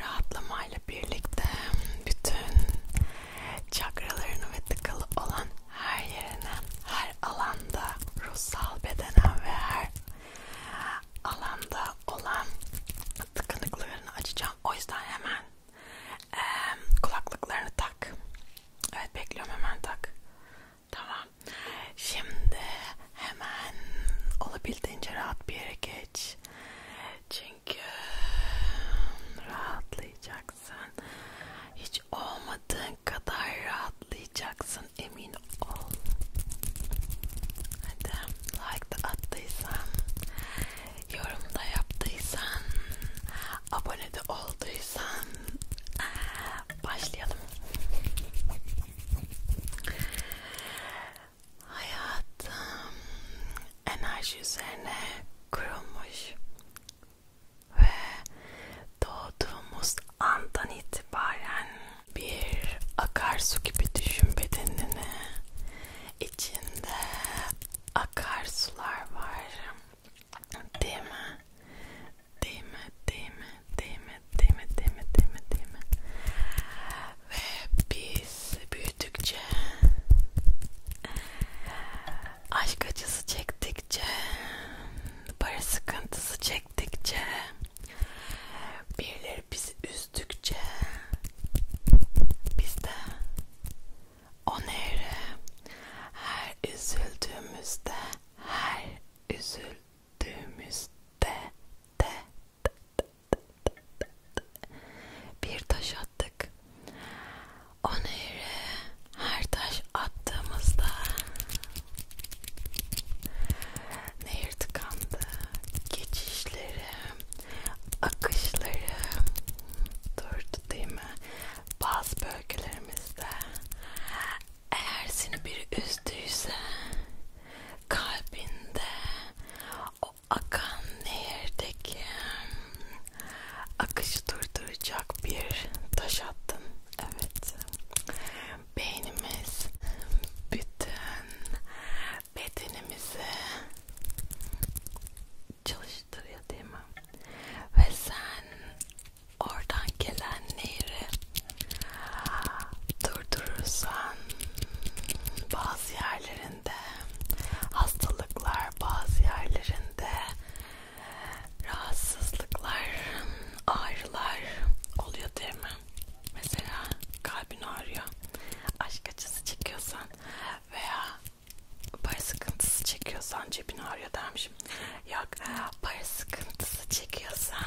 rahatlamayla birlikte bütün çakralarını ve tıkalı olan her yerine, her alanda ruhsal bedenen ve her alanda olan tıkanıklarını açacağım. O yüzden hemen e, kulaklıklarını tak. Evet bekliyorum hemen tak. Tamam. Şimdi hemen olabildiğince rahat bir yere geç. Çünkü rahatlayacaksın. Hiç olmadığın kadar rahatlayacaksın emin ol. Hadi like da attıysan, yorumda yaptıysan, abone de olduysan başlayalım. Hayatım enerji üzerine kurulmuş ve doğduğumuz andan itibaren bir akarsu gibi düşün bedenini. İçinde akarsular var. Değil mi? Değil mi? Değil mi? Değil mi? Değil mi? Değil mi? Değil mi? Değil mi? Ve biz büyüdükçe, aşk acısı çektikçe, para sıkıntısı çektikçe, birileri bizi üzdükçe, biz de o nehre her üzüldüğümüzde, her üzüldüğümüzde de, de, de, bir taş attık. O nehre her taş attığımızda nehir tıkandı. Geçişleri, akışları durdu değil mi? Bazı bölgelerimizde eğer seni biri üzdüyse kalbinde o akan nehirdeki akışı durduracak bir taş attın. Evet. Beynimiz bütün bedenimizi çalıştırıyor değil mi? Ve sen oradan gelen nehri durdurursan bazı yerlerinde hastalıklar, bazı yerlerinde rahatsızlıklar, ağrılar oluyor değil mi? Mesela kalbin ağrıyor, aşk acısı çekiyorsan veya para sıkıntısı çekiyorsan cebin ağrıyor dermişim. Yok, para sıkıntısı çekiyorsan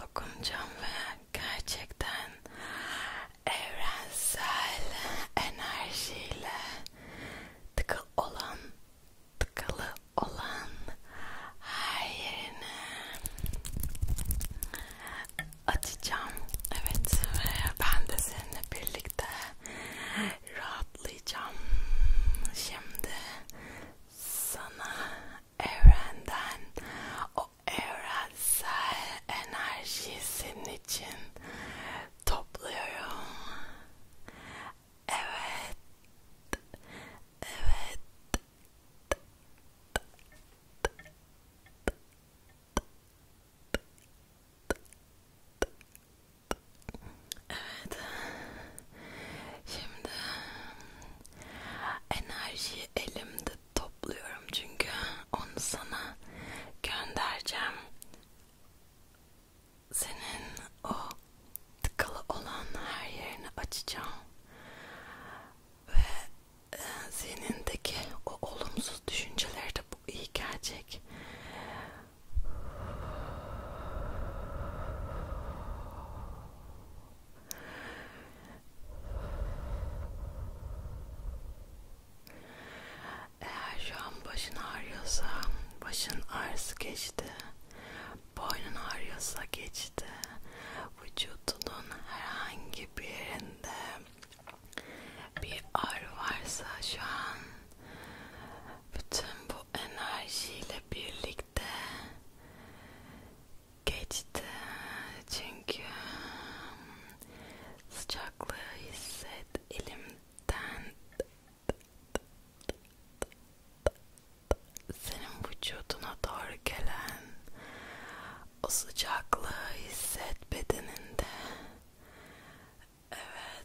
dokunacağım ve gerçekten evrensel enerjiyle tıkıl olan tıkalı olan her yerini açacağım. Evet ve ben de seninle birlikte rahatlayacağım. Şimdi sana evrenden o evrensel enerjiyi senin için topluyorum. Evet. Evet. Evet. Şimdi enerjiyi elimde topluyorum çünkü onu sana göndereceğim. Senin o tıkalı olan her yerini açacağım ve e, zihnindeki o olumsuz düşünceleri de bu iyi gelecek. Eğer şu an başın ağrıyorsa başın ağrısı geçti. Boynun ağrıyorsa geçti. Vücudunun herhangi bir yerinde bir ağrı varsa şu an bütün bu enerjiyle birlikte geçti çünkü hmm, sıcaklığı hisset elimden senin vücuduna doğru gelen o sıcaklığı hisset bedeninde evet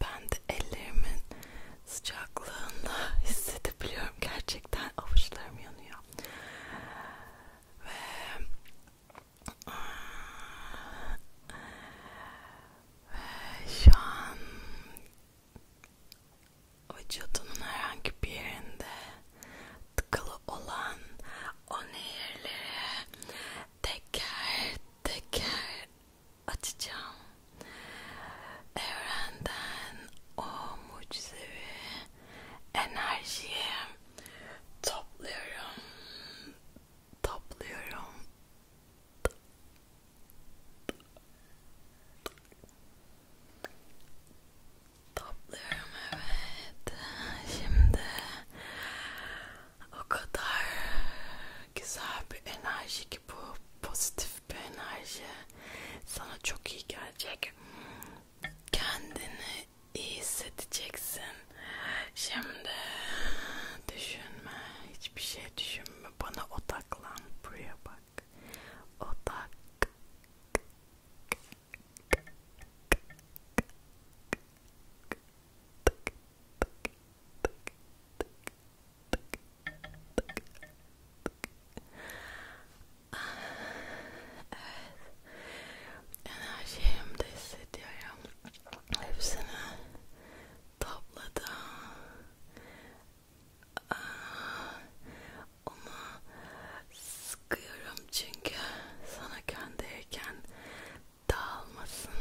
ben de ellerimin sıcaklığını hissedebiliyorum gerçekten avuçlarım yanıyor ve ve şu an vücudunun herhangi bir yerinde tıkalı olan o nehirleri teker teker açacağım. Evrenden o mucizevi enerjiyi topluyorum. Topluyorum. Topluyorum evet. Şimdi o kadar güzel bir enerji ki bu pozitif pozitif bir enerji sana çok iyi gelecek kendini iyi hissedeceksin şimdi düşünme hiçbir şey düşünme bana odaklan buraya bak odak tık, tık, tık, tık, tık. Ah, evet, enerjimde hissediyorum. Hepsini topladım. Ah, onu sıkıyorum çünkü sana gönderiken dağılmasın.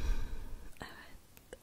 Evet,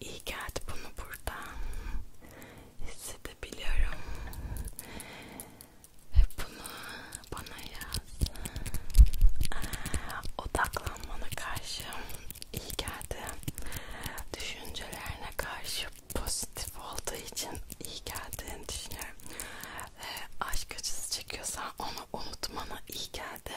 iyi geldi bunu buradan hissedebiliyorum ve bunu bana yaz ee, odaklanmana karşı iyi geldi düşüncelerine karşı pozitif olduğu için iyi geldiğini düşünüyorum ve aşk acısı çekiyorsan onu unutmana iyi geldi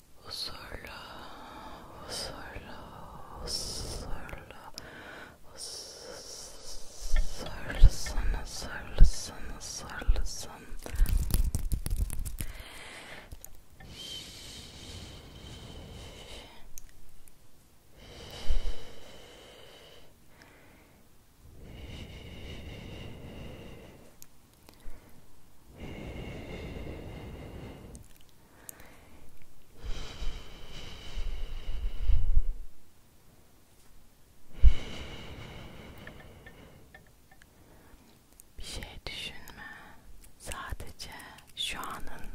Huzurlu, huzurlu, huzurlu, huzurlusun, huzurlusun, huzurlusun. Huzurlusun, bir şey düşünme. Sadece şu anın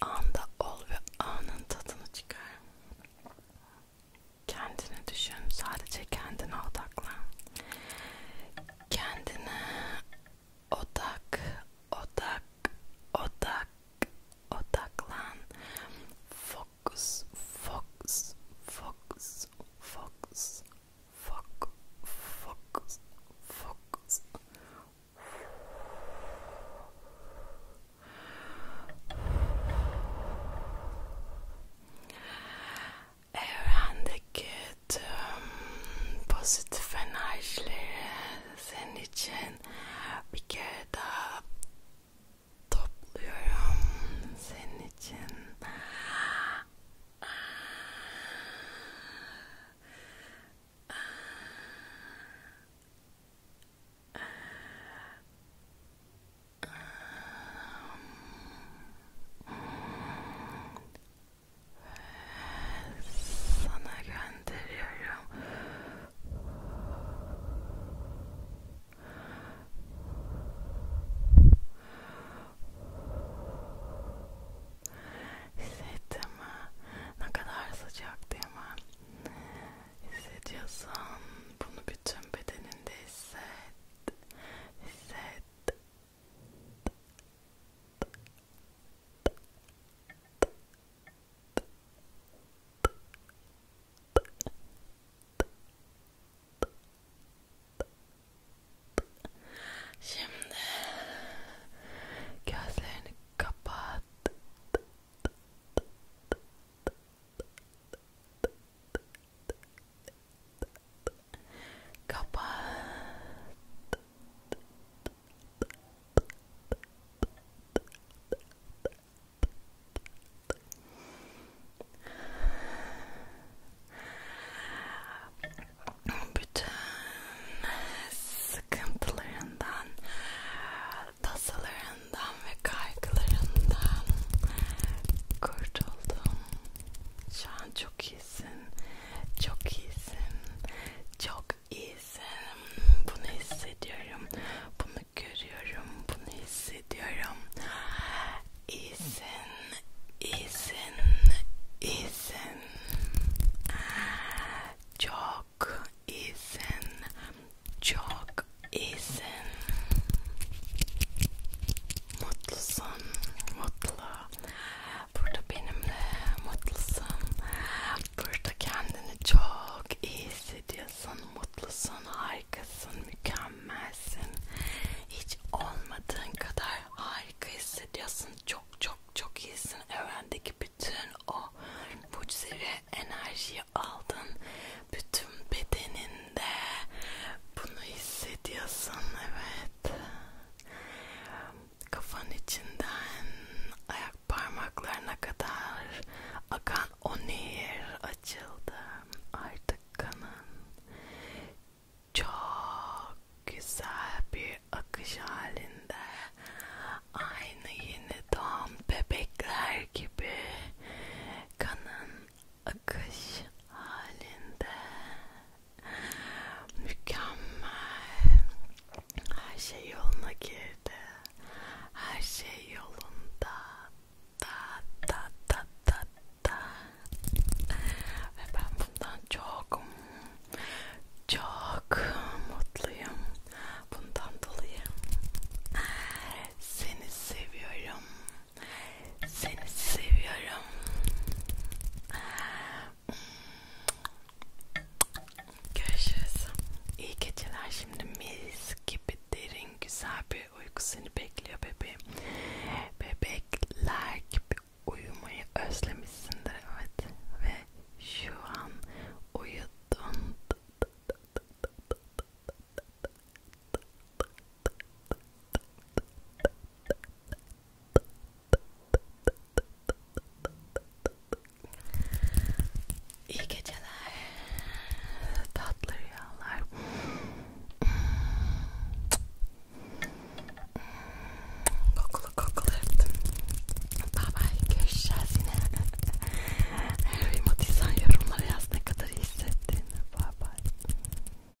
anda ol ve anın tadını çıkar. Kendini düşün. Sadece kendine odaklan. Kendine Otak, Otak, Otak, Otaklan. Focus, focus, focus, focus, foc, focus, focus. Evendeki Evet, um, pozitif enerjileri senin için bir kere daha uh, topluyorum senin için. Uh, um, sana gönderiyorum. Hissettin mi? Ne kadar sıcak değil mi? Hissediyorsan bunu bütün bedeninde hisset. Hisset. Şimdi gözlerini kapat. Kapat. Bütün sıkıntılarından, tasalarından ve kaygılarından kurtuldum. Şu an çok iyi iyisin. Çok iyisin. Çok iyisin. Bunu hissediyorum. Bunu görüyorum. Bunu hissediyorum. İyisin. İyisin. İyisin. Çok iyisin. Çok iyisin. Mutlusun. Mutlu. Burada benimle mutlusun. Burada kendini çok iyi hissediyorsun. Mutlusun, harikasın, mükemmelsin. Hiç olmadığın kadar harika hissediyorsun. Çok çok çok iyisin. Evrendeki bütün o mucizevi enerjiyi aldın. Bütün bedeninde bunu hissediyorsun. Evet. Kafanın içinden ayak parmaklarına kadar akan o nehir açıldı. Artık kanın çok güzel bir akış halinde. Aynı yeni doğan bebekler gibi kanın akış halinde Mükemmel. Her şey yoluna girdi. Her şey yolunda. Da da da da da. Ve ben bundan çok çok mutluyum. Bundan dolayı seni seviyorum. Seni seviyorum. Görüşürüz. İyi geceler şimdi mis gibi derin güzel bir uyku seni bekliyor bebeğim. Bebekler gibi uyumayı özlemişsindir evet ve şu an uyudun. İyi geceler, tatlı rüyalar. kokulu kokulu öptüm. Bye bye, görüşeceğiz yine. Remote insan yorumlara yaz ne kadar iyi hissettiğini. Bye bye.